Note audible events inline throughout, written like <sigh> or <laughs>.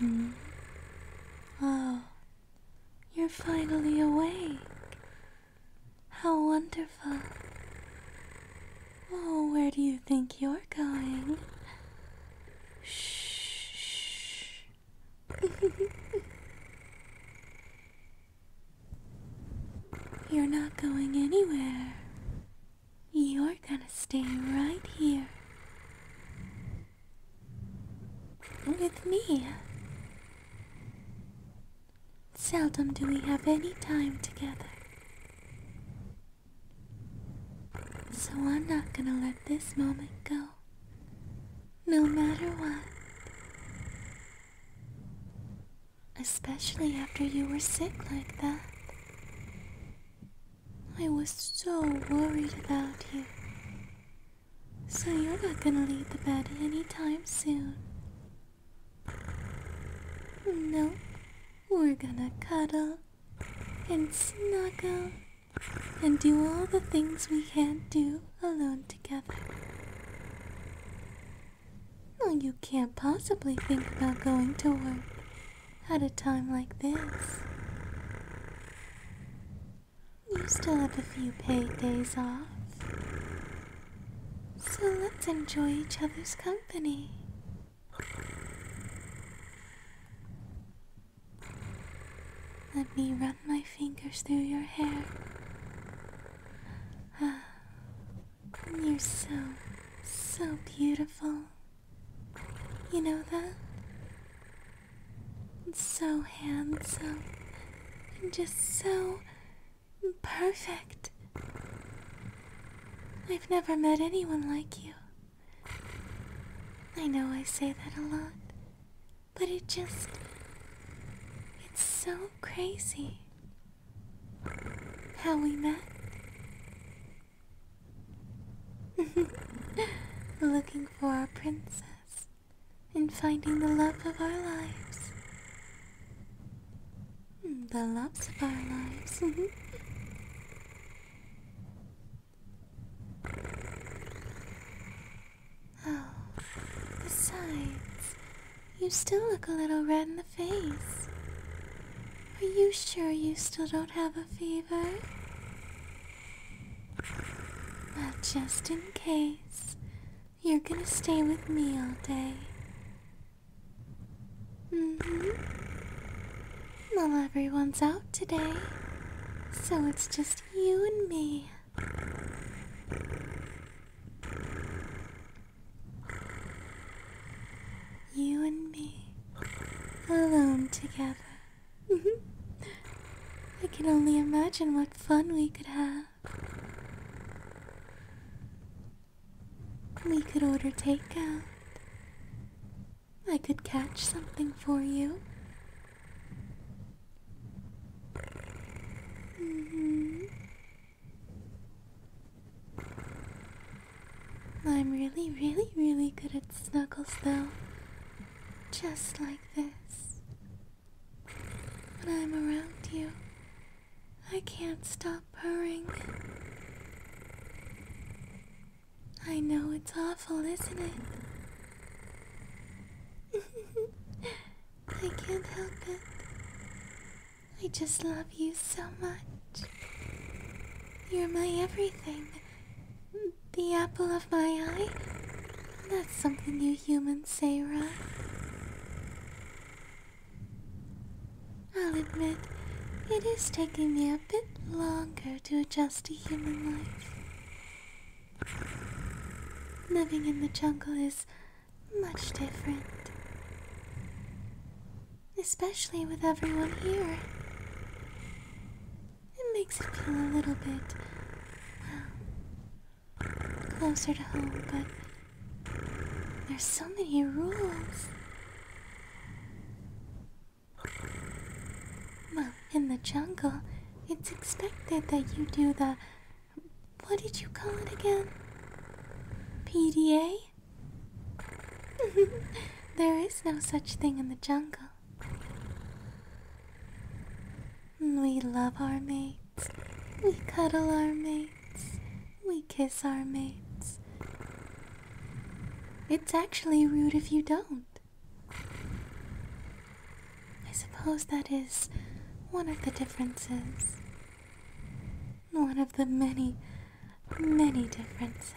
Mm-hmm. Oh, you're finally awake. How wonderful. Oh, where do you think you're going? Shh. <laughs> You're not going anywhere. You're gonna stay right here. With me. Seldom do we have any time together. So I'm not gonna let this moment go. No matter what. Especially after you were sick like that. I was so worried about you. So you're not gonna leave the bed anytime soon. No, we're gonna cuddle and snuggle and do all the things we can't do alone together. No, you can't possibly think about going to work at a time like this. You still have a few paid days off. So let's enjoy each other's company. Let me my fingers through your hair. Ah, you're so, so beautiful. You know that? So handsome and just so perfect. I've never met anyone like you. I know I say that a lot, but it just. It's so crazy. How we met. <laughs> Looking for our princess and finding the love of our lives. The love of our lives. <laughs> Oh, <sighs> besides, you still look a little red in the face. Are you sure you still don't have a fever? Well, just in case, you're gonna stay with me all day. mm Well, everyone's out today, so it's just you and me. You and me, alone together. I can only imagine what fun we could have. We could order takeout. I could catch something for you. Mm-hmm. I'm really, really, really good at snuggles though. Just like this. When I'm around you, I can't stop purring. I know it's awful, isn't it? I can't help it. I just love you so much. You're my everything. The apple of my eye. That's something you humans say, right? I'll admit, it is taking me a bit longer to adjust to human life. Living in the jungle is much different. Especially with everyone here. It makes it feel a little bit closer to home, but there's so many rules. Well, in the jungle, it's expected that you do the. What did you call it again? PDA? <laughs> there is no such thing in the jungle. We love our mates. We cuddle our mates. We kiss our mates. It's actually rude if you don't. I suppose that is one of the differences. One of the many, many differences.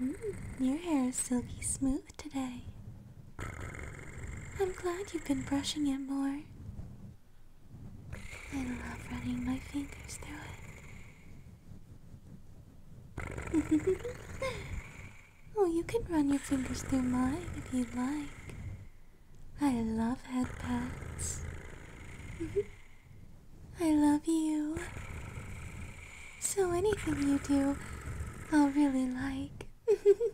Mm, your hair is silky smooth today. I'm glad you've been brushing it more. I love running my fingers through it. <laughs> oh, you can run your fingers through mine if you like. I love headpats. <laughs> I love you. So anything you do, I'll really like. <laughs>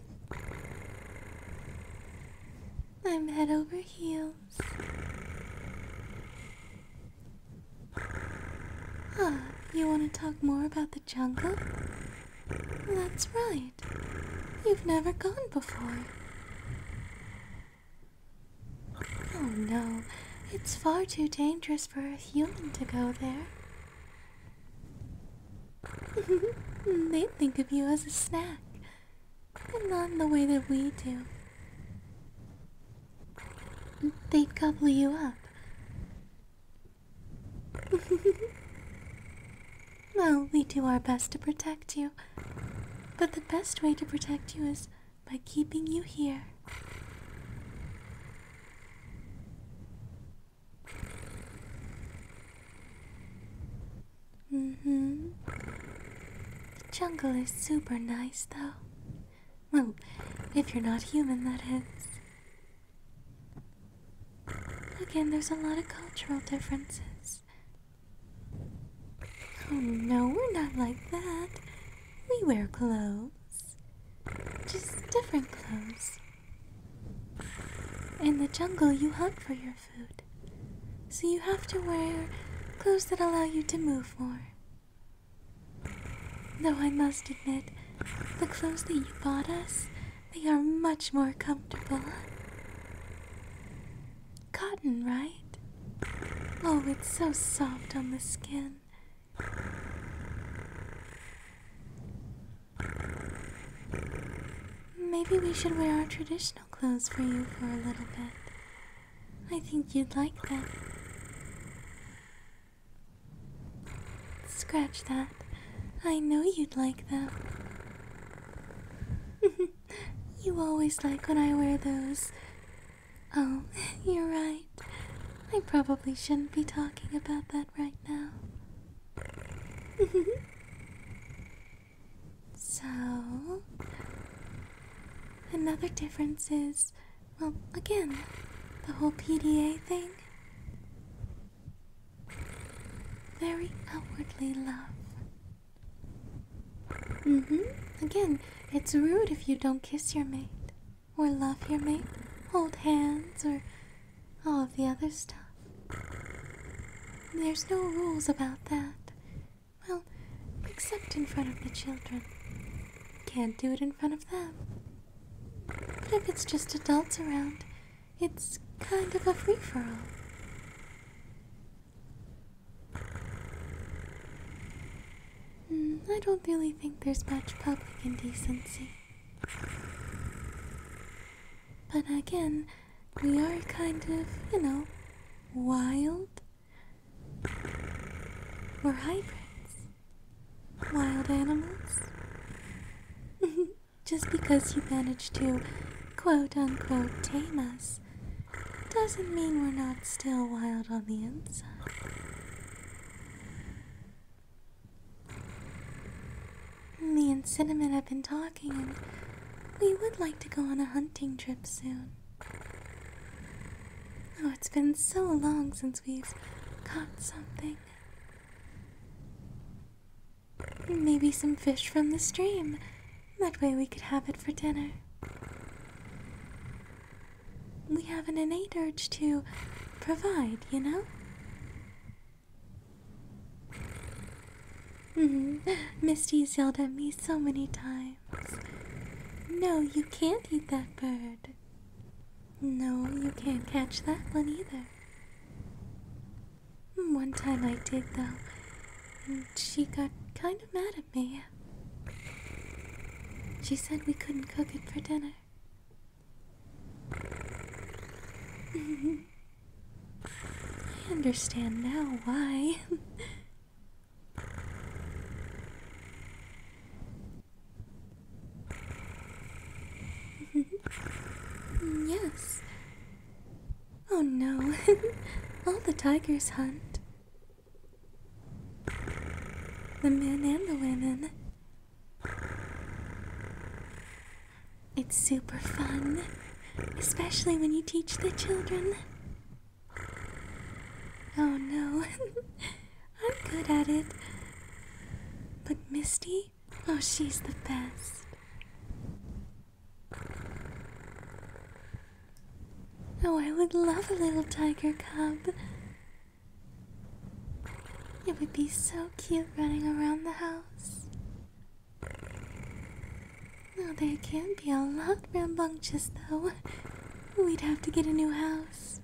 I'm head over heels you want to talk more about the jungle? That's right. You've never gone before. Oh no, it's far too dangerous for a human to go there. <laughs> They'd think of you as a snack, but not in the way that we do. They'd gobble you up. <laughs> well, we do our best to protect you, but the best way to protect you is by keeping you here hmm. The jungle is super nice, though. Well, if you're not human, that is. Again, there's a lot of cultural differences. Oh no, we're not like that. We wear clothes. Just different clothes. In the jungle, you hunt for your food. So you have to wear clothes that allow you to move more. Though I must admit, the clothes that you bought us, they are much more comfortable. Cotton, right? Oh, it's so soft on the skin. Maybe we should wear our traditional traditional clothes for you for a little bit. I think you'd like that. Scratch that. I know you'd like that. <laughs> you always like when I wear those. Oh, <laughs> you're right. I probably shouldn't be talking about that right now. <laughs> So, another difference is, well, again, the whole PDA thing. Very outwardly love. Mm hmm. Again, it's rude if you don't kiss your mate, or love your mate, hold hands, or all of the other stuff. There's no rules about that. Well, except in front of the children. Can't do it in front of them. But if it's just adults around, it's kind of a free for all. Hmm, I don't really think there's much public indecency. But again, we are kind of, you know, wild. We're hybrids. Wild animals. <laughs> Just because you managed to quote unquote tame us doesn't mean we're not still wild on the inside. Me and Cinnamon have been talking, and we would like to go on a hunting trip soon. Oh, it's been so long since we've caught something. Maybe some fish from the stream. That way we could have it for dinner. We have an innate urge to provide, you know? Mm-hmm. Misty's yelled at me so many times. No, you can't eat that bird. No, you can't catch that one either. One time I did, though, and she got kind of mad at me. She said we couldn't cook it for dinner. <laughs> I understand now why. <laughs> yes. Oh no, <laughs> all the tigers hunt. The men and the women. It's super fun, especially when you teach the children. Oh no, <laughs> I'm good at it. But Misty, oh, she's the best. Oh, I would love a little tiger cub. It would be so cute running around the house. Well, they can be a lot rambunctious, though. We'd have to get a new house.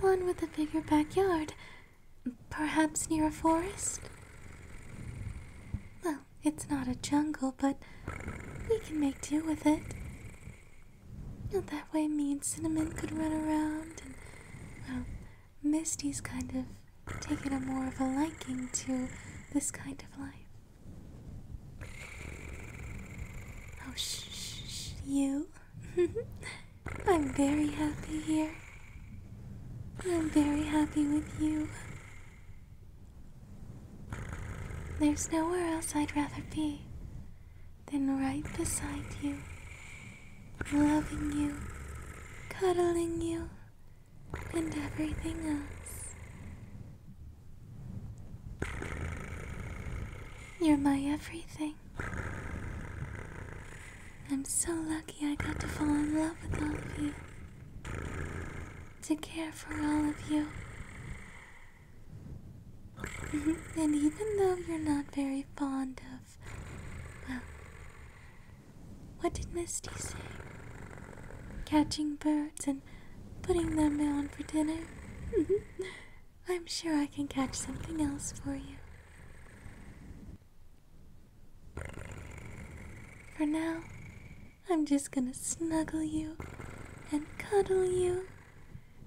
One with a bigger backyard. Perhaps near a forest? Well, it's not a jungle, but we can make do with it. that way, me and Cinnamon could run around and, well, Misty's kind of taken a more of a liking to this kind of life. Oh, shh, you. <laughs> I'm very happy here. I'm very happy with you. There's nowhere else I'd rather be then right beside you, loving you, cuddling you, and everything else. You're my everything. I'm so lucky I got to fall in love with all of you, to care for all of you. <laughs> and even though you're not very fond of well, what did Misty say? Catching birds and putting them on for dinner? <laughs> I'm sure I can catch something else for you. For now, I'm just gonna snuggle you and cuddle you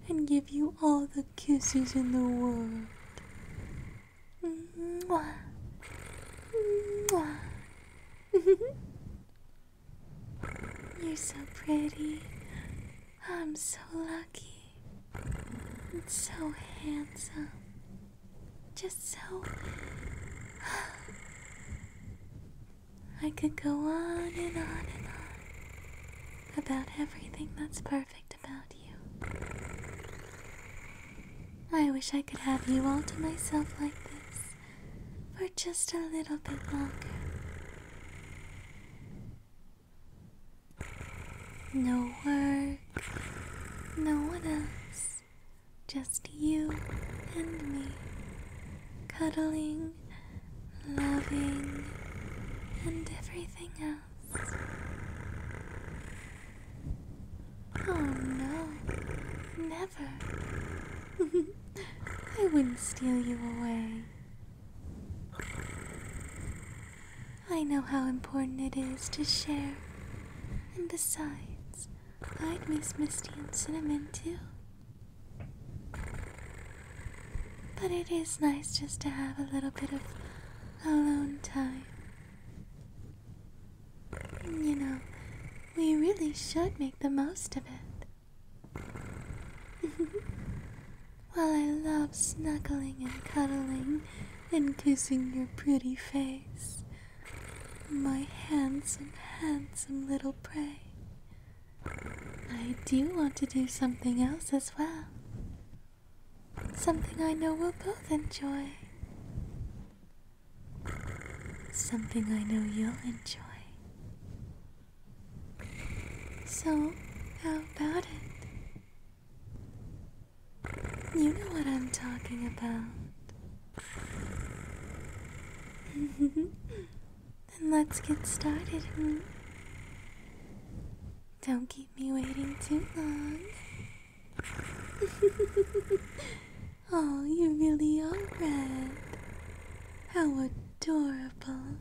and give you all the kisses in the world. <laughs> You're so pretty. I'm so lucky. And so handsome. Just so. <sighs> I could go on and on and on about everything that's perfect about you. I wish I could have you all to myself like this for just a little bit longer. No work, no one else, just you and me cuddling loving, and everything else. Oh no, never. <laughs> I wouldn't steal you away. I know how important it is to share. And besides, I'd miss Misty and Cinnamon too. But it is nice just to have a little bit of alone time. You know, we really should make the most of it. <laughs> While I love snuggling and cuddling and kissing your pretty face, my handsome, handsome little prey, I do want to do something else as well. Something I know we'll both enjoy. Something I know you'll enjoy. So, how about it? You know what I'm talking about. <laughs> Then let's get started, Don't keep me waiting too long. <laughs> oh, you really are red. How adorable.